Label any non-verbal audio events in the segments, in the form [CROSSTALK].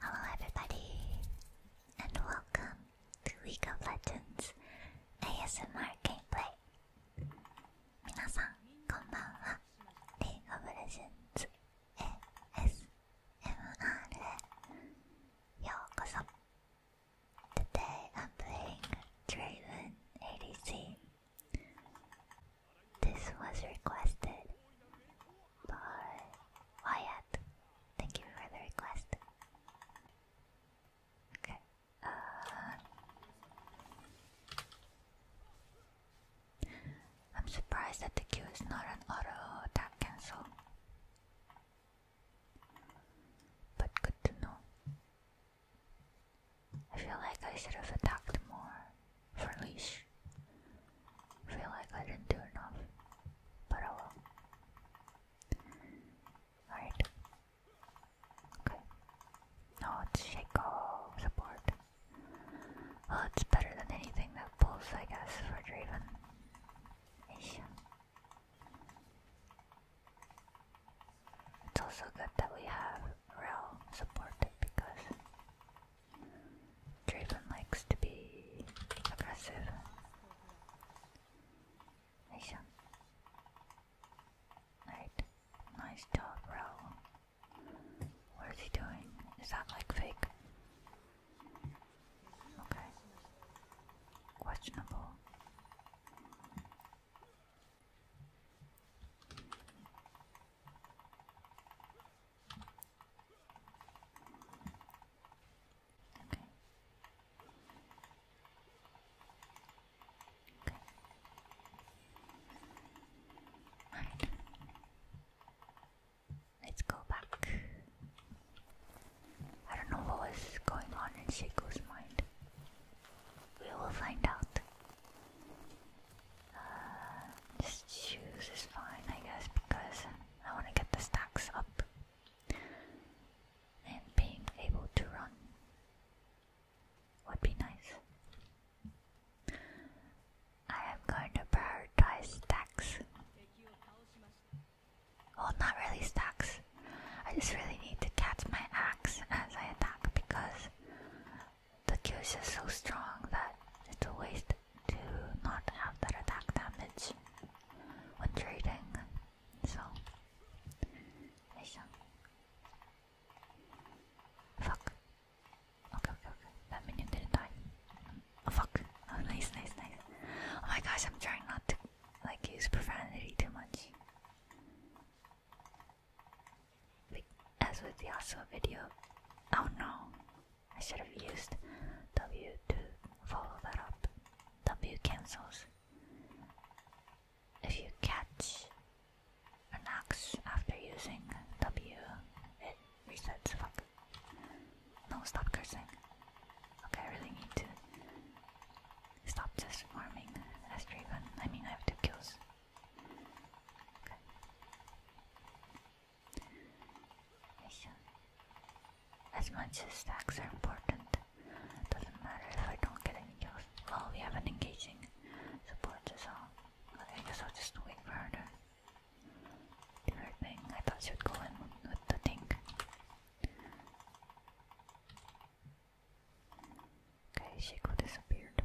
Hello, everybody, and welcome to League of Legends ASMR Gameplay. 皆さん、こんばんは。League of Legends ASMR へようこそ。Today I'm playing Draven ADC. This was requested by Wyatt. Thank you for the request. Okay. Uh, I'm surprised that the queue is not an auto attack cancel. But good to know. I feel like I should have attacked more for leash. Feel like I didn't do enough, but I will. Alright. Okay. Now let's support. Well, it's better than anything that pulls, I guess, for Draven. Ish. It's also good that we have real support because Draven likes to be aggressive. Aisha. Right. Nice job, bro. What is he doing? Is that like fake? Okay. Questionable. Let's go back. I don't know what was going on in Seiko's mind. We will find out. Uh, this just shoes is fine, I guess, because I want to get the stacks up and being able to run would be nice. I am going to prioritize stacks. Well, not really stacks. I just really need to catch my axe as I attack because the Q's is so strong that it's a waste to not have that attack damage when trading. So, Fuck. Okay, okay, okay. That minion didn't die. Oh, fuck. Oh, nice, nice, nice. Oh my gosh, I'm trying not to like use profanity too much. As with the also video. Oh no. I should have used W to follow that up. W cancels. If you catch an axe after using W, it resets. Fuck. No, stop cursing. Okay, I really need to stop just farming I mean, I have two kills. As much as stacks are important, doesn't matter if I don't get any kills. Well, we have an engaging support as all. I guess I'll just wait for her to thing. I thought she would go in with the tank. Okay, Shaco disappeared.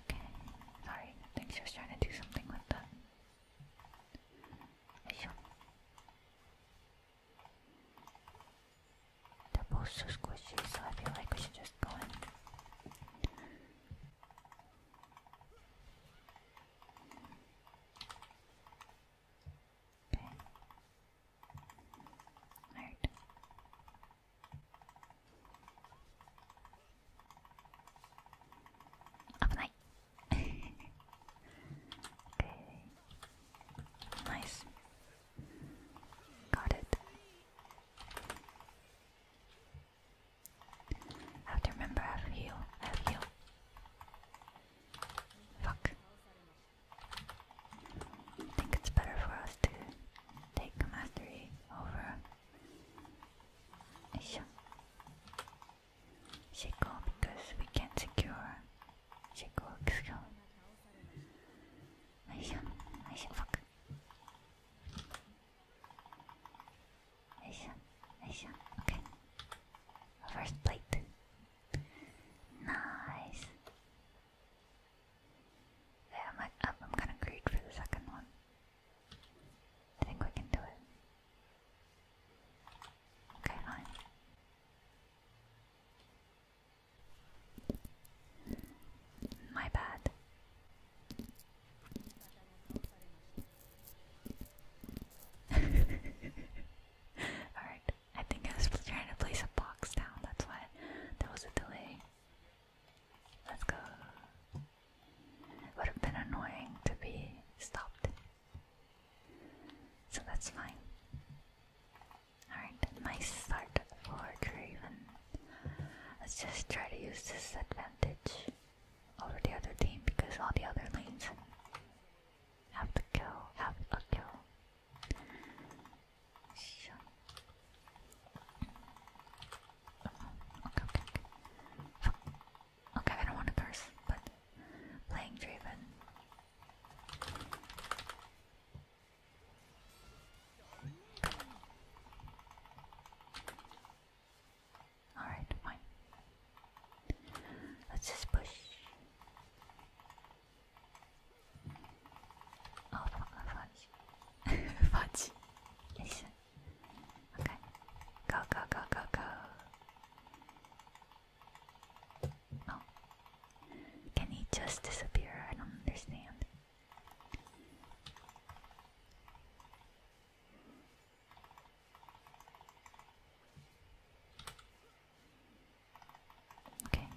Okay. Sorry, I think she was trying to do something with that. They're both so squishy, so I feel like we should just go in. Okay. Alright. 危ない [LAUGHS] okay. Nice. Got it. have to remember have heal. have heal. Fuck. I think it's better for us to take mastery over いしょシェコ because we can secure シェコ excuse よいしょよいしょ fuck よいしょよいしょ okay first plate nice yeah, I'm, I'm, I'm gonna greet for the second one. I think we can do it. Okay, fine. My bad. [LAUGHS] Alright, I think I was trying to place a box down, that's why there was a delay. Let's go. Would have been annoying to be stopped. So that's fine. Alright, nice start for Draven. Let's just try to use this advantage over the other team because all the other lanes have to kill, have a kill. Shut. Okay, okay, okay. Okay, I don't want to curse, but playing Draven. Alright, fine. Let's just push. Oh, fuck, fudge. fudge. Listen. Okay. Go, go, go, go, go. Oh. Can he just disappear? I don't understand. Okay.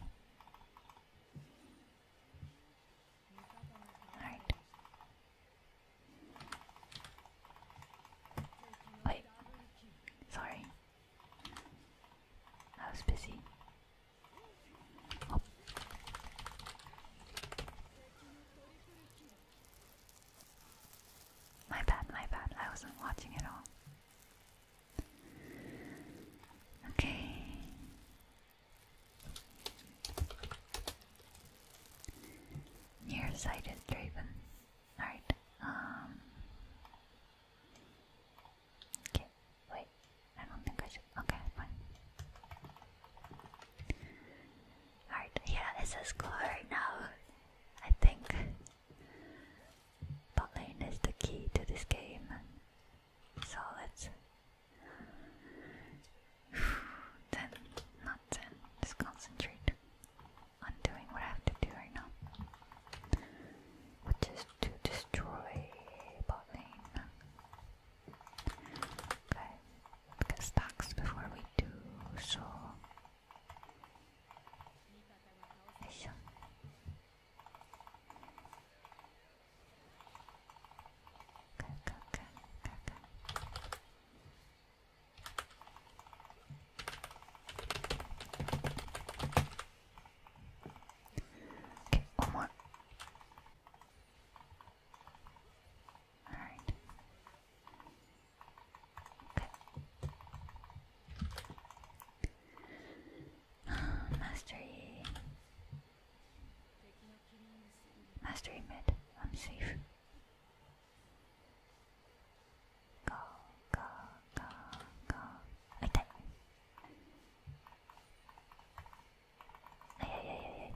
Alright. Wait. Sorry. I was busy. Oh. My bad, my bad. I wasn't watching at all. Okay. Nearsighted Draven. Alright, um. Okay, wait. I don't think I should. Okay, fine. Alright, yeah, it's a score right now. I think. Bot lane is the key to this game. So let's ten, not ten. Just concentrate on doing what I have to do right now, which is to destroy bot lane. Okay, get stocks before we do so. okay, okay, okay, okay. Okay, one more. All right. Okay. [SIGHS] Mastery. Mastery mid. I'm safe go, go, go, go. I die. Ay, ay, ay, ay,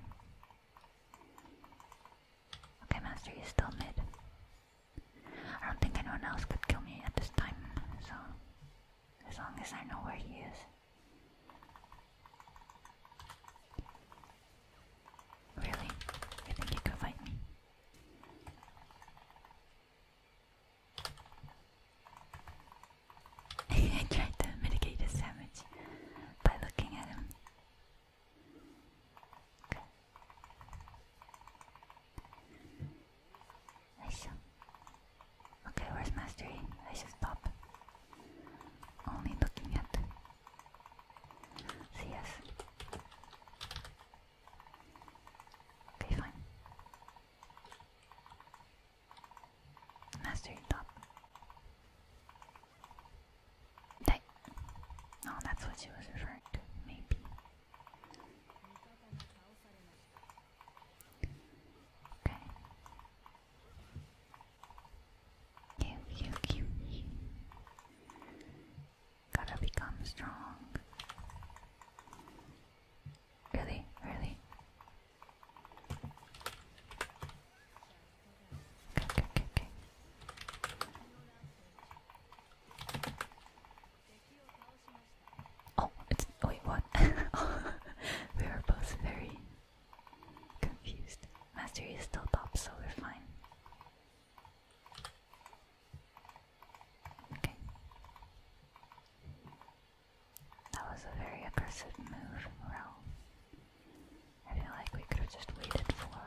Okay, Master, you still mid. I don't think anyone else could kill me at this time, so as long as I know where he is. Really? You think you can fight me? [LAUGHS] I tried to mitigate his damage by looking at him. Okay. I Okay, where's mastery? I should stop. Only looking at See us. Okay, fine. Master top. That. oh, that's what she was referring to, maybe. Okay. Okay, okay, okay. Gotta become strong. Really, really. Okay, okay, okay, Oh, wait, what? [LAUGHS] we are both very Confused. Mastery is still top, so we're fine. Okay. That was a very aggressive move, Rel. I feel like we could have just waited for.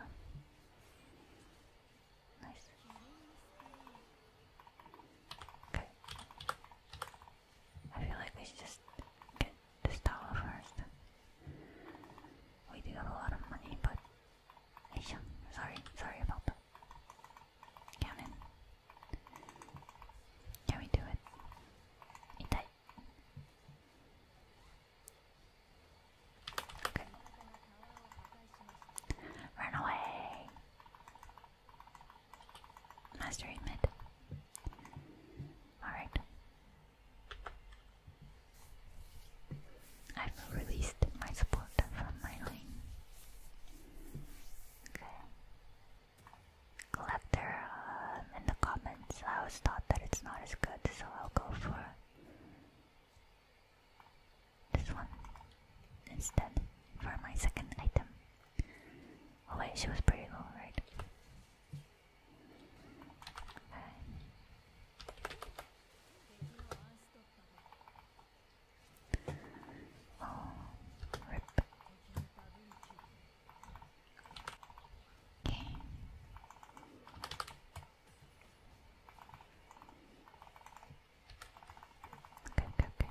Nice. Okay. I feel like we should just this tower first. We do have a lot of money, but Aisha, sorry, sorry about that. Cannon. Can we do it? Okay. Run away! Master mid. Alright. I've released my support from my lane. Collector um, in the comments. I always thought that it's not as good, so I'll go for this one instead for my second item. Oh wait, she was pretty low, right? Oh, rip. Okay, okay, okay.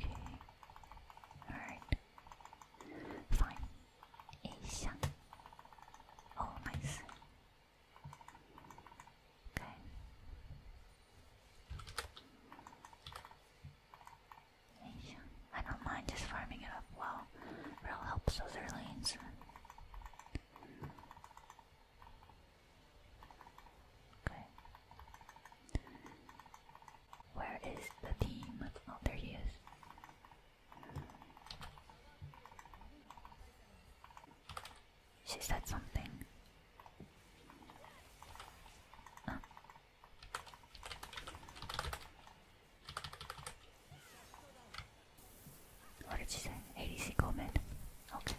Okay. Alright. Fine. Asia. Oh, nice. Okay. I don't mind just farming it up well. It'll help other lanes. Okay. Where is the team? of oh, there he she said something. What did she say? ADC comment. Okay.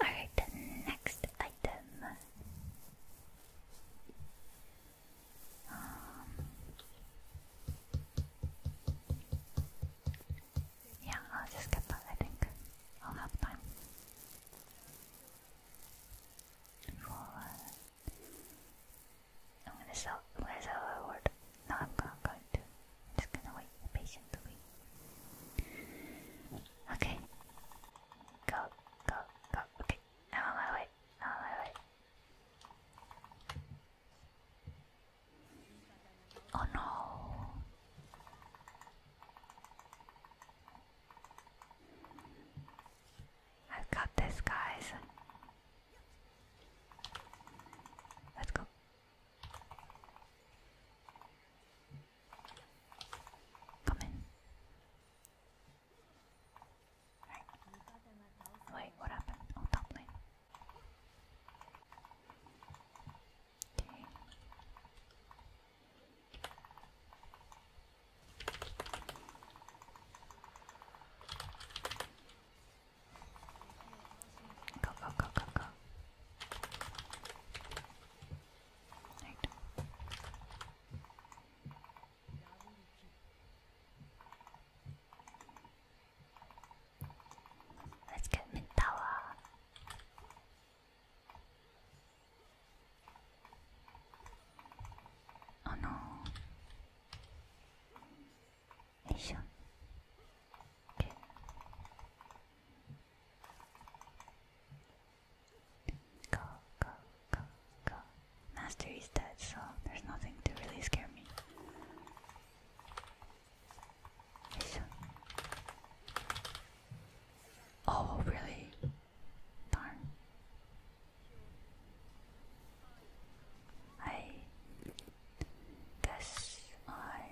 Alright, the next item. Um, yeah, I'll just get that, I think. I'll have time. Uh, I'm gonna sell, I'm going word. No, I'm not going to. just gonna wait patiently. Okay. Go, go, go. Okay, I'm on my way. I'm on my way. Oh no. I've got this, guys. Let's go. Come in. Wait, what happened? Oh, top lane. Go, go, go, go, go. Right. Let's get mid tower. Oh no. Aisha. Okay. Go, go, go, go. Master is dead, so there's nothing to really scare me. Oh, really? Darn. I guess I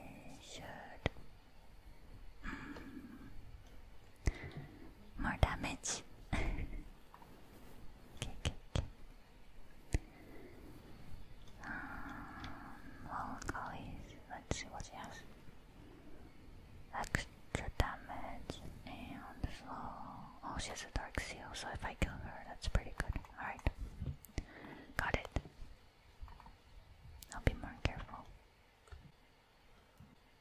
should Hmm. More damage. [LAUGHS] okay, okay, okay. Um, well, Collies, let's see what she has. Extra damage and flow. Oh, she has a dark seal, so if I kill her, that's pretty good. Alright. Got it. I'll be more careful.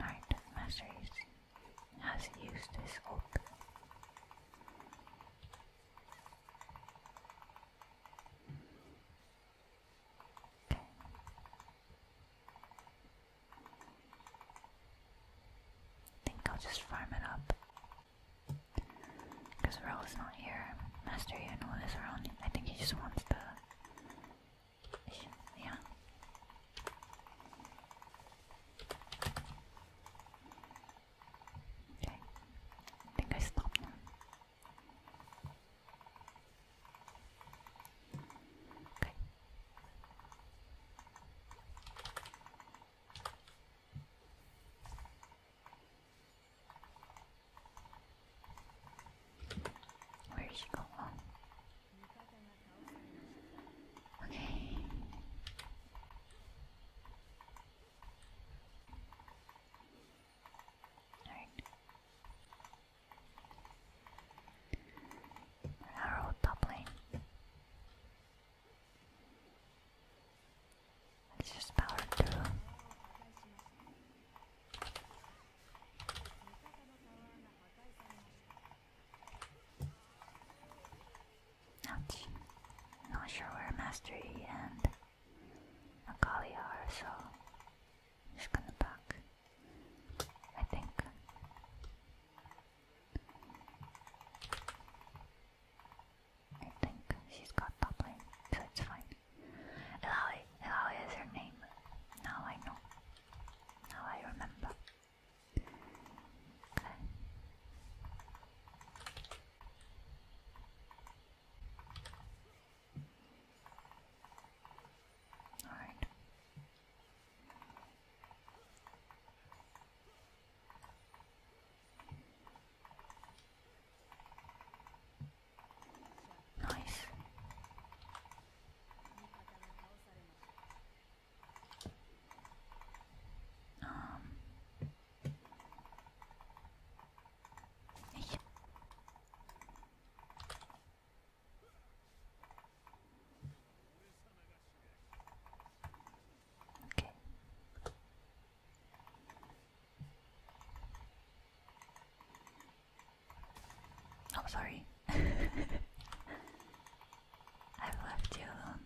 Art Masteries has used this oath. I think I'll just farm it up. Because Rel is not here. Master Yuno is around. I think he just wants the. Yeah. Okay. think I stopped Where's she going? Okay. Alright. Arrow top let just power through. Ouch. Not sure where Mastery and Akali are, so just gonna back. I think. I think she's got top lane, so it's fine. Elaoi, Elaoi is her name. Now I know. Now I remember. Okay. Alright. Nice. Um. Okay. I'm oh, sorry. [LAUGHS] I've left you alone.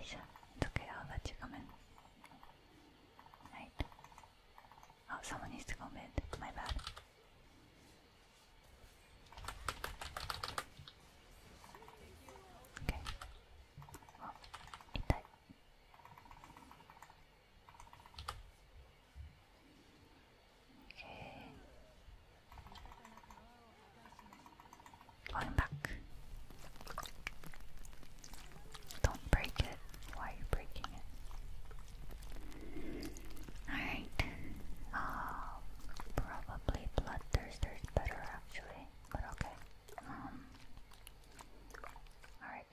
Isha, it's okay, I'll let you come in. Right. Oh, someone needs to go mid. My bad. Okay. あ痛いへえ going back don't break it why are you breaking it alright oh probably bloodthirster's better actually but okay um Alright.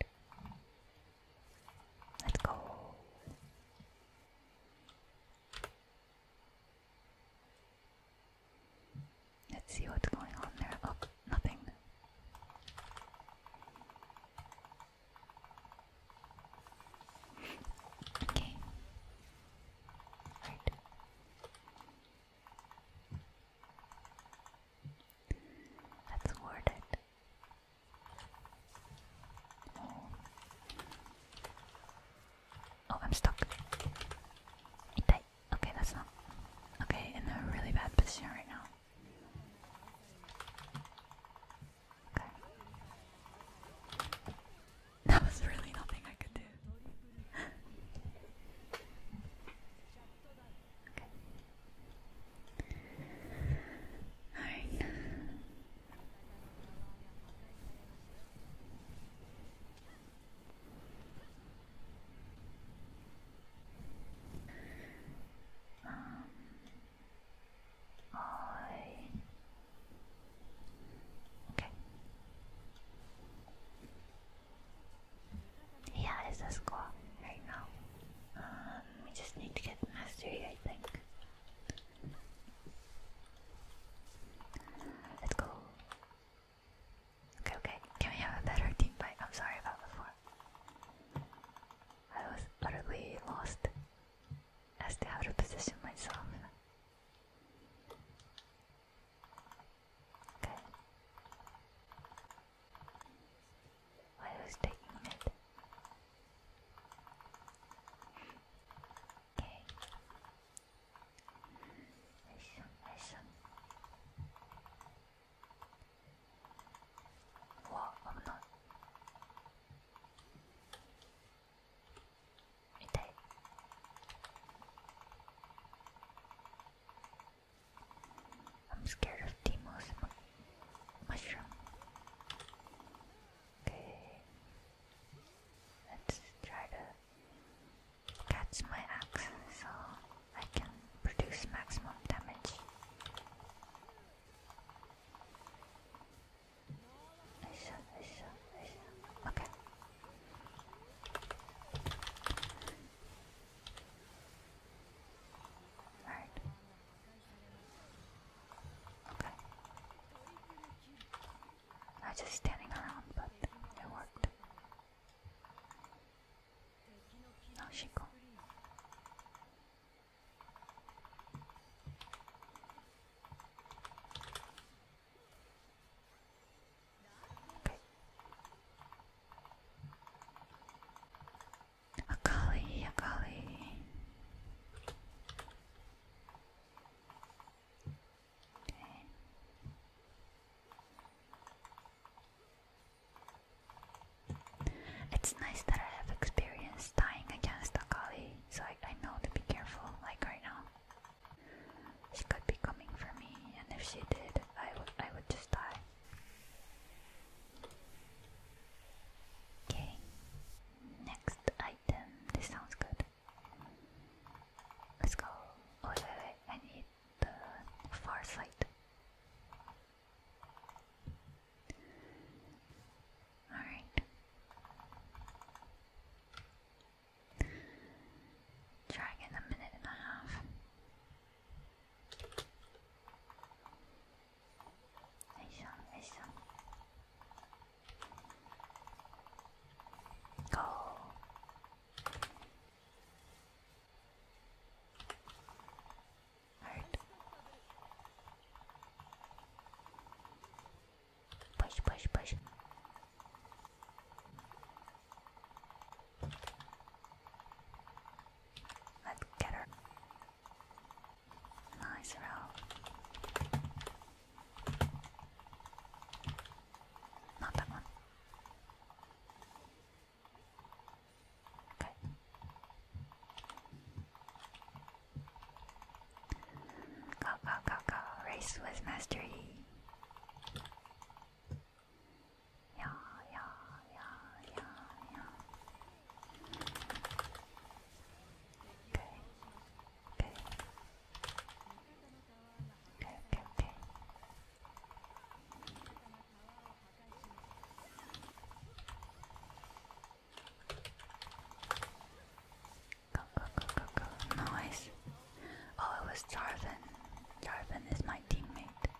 Let's go. Let's see what's going on there. Oh, nothing. Okay. Right. Let's word it. Oh. I'm stuck. Okay, that's not. Okay, in a really bad position right now. That was really nothing I could do. [LAUGHS] Okay. Alright. Um, I... Okay. Yeah, it's a score right now. Um, we just need to get mastery, I think. Let's go. Okay, okay. Can we have a better team fight? I'm sorry about before. I was utterly lost as to how to position myself. Good. Why was taking it? Okay. Listen, listen. Whoa, I'm not. Okay. I'm scared of demons and mushrooms. Okay. Let's try to catch my axe so I can produce maximum damage. I saw, I Okay. Alright. I was just standing around, but it worked. Now she go. Akali, Akali. Okay. It's nice that I have experience dying against a Akali, so I, I know to be careful, like right now. She could be coming for me, and if she did, I would I would just die. Okay. Next item. This sounds good. Let's go. Oh, wait, wait, wait. I need the far Alright. Try again a minute and a half. よいしょよいしょ GO! push push push Let's get her. Nice row. Not that one. Okay. Go, go, go, go. Race with mastery. Yeah, yeah, yeah, yeah, yeah. Okay. Okay. Okay, okay, okay. Go, go, go, go, go. Nice. Oh, it was Jarvan. Jarvan is my teammate.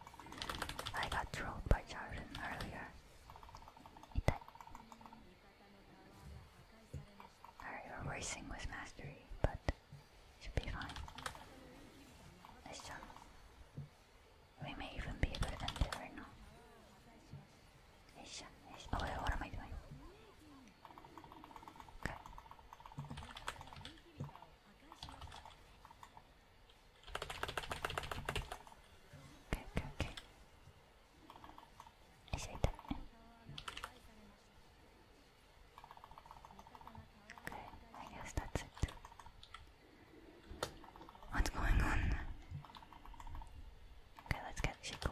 I got trolled by Jordan earlier. Alright, we're racing with mastery, but should be fine. Let's We may even be able to end now. Isha, Isha. Oh wait, what am I doing? Okay. Okay, okay, okay. I say that. Okay, I guess that's it. What's going on? Okay, let's get Shiko.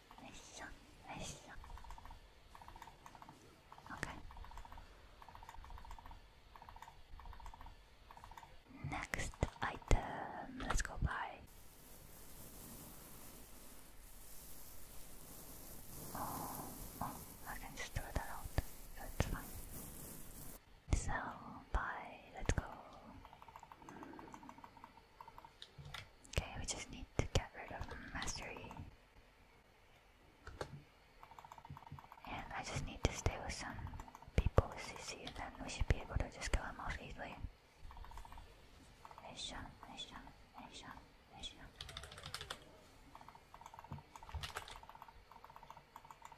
Next item, let's go buy. Oh, oh, I can just throw that out. That's fine. So, buy, let's go. Okay, we just need to get rid of mastery. And I just need to stay with some people with CC and then we should be able to just kill them off easily. Nice shot, nice shot, nice shot, nice shot.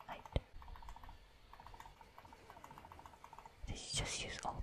Light. Did just use ult?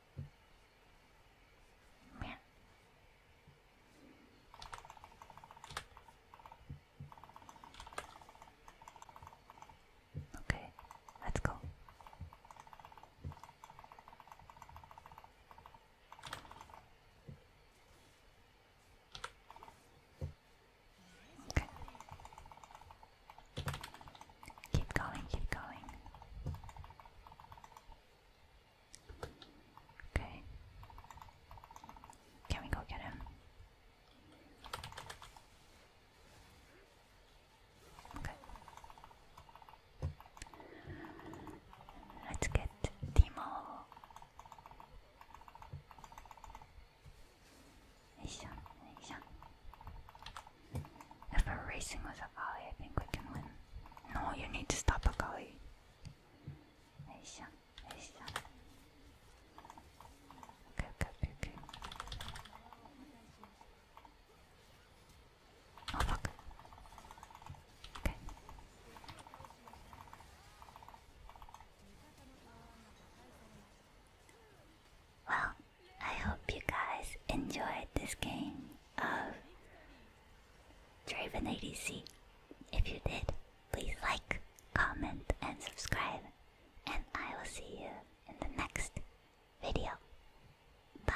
Meow. Okay, let's go. Okay. Keep going, keep going. Okay. Can we go get him? Okay. Let's get Timo. If we're racing with a volley, I think we can win. No, you need to stop a gully. Okay, okay, okay, oh, Okay. Well, I hope you guys enjoyed this game of Draven ADC. If you did, please like, comment, and subscribe. And I will see you in the next video. Bye.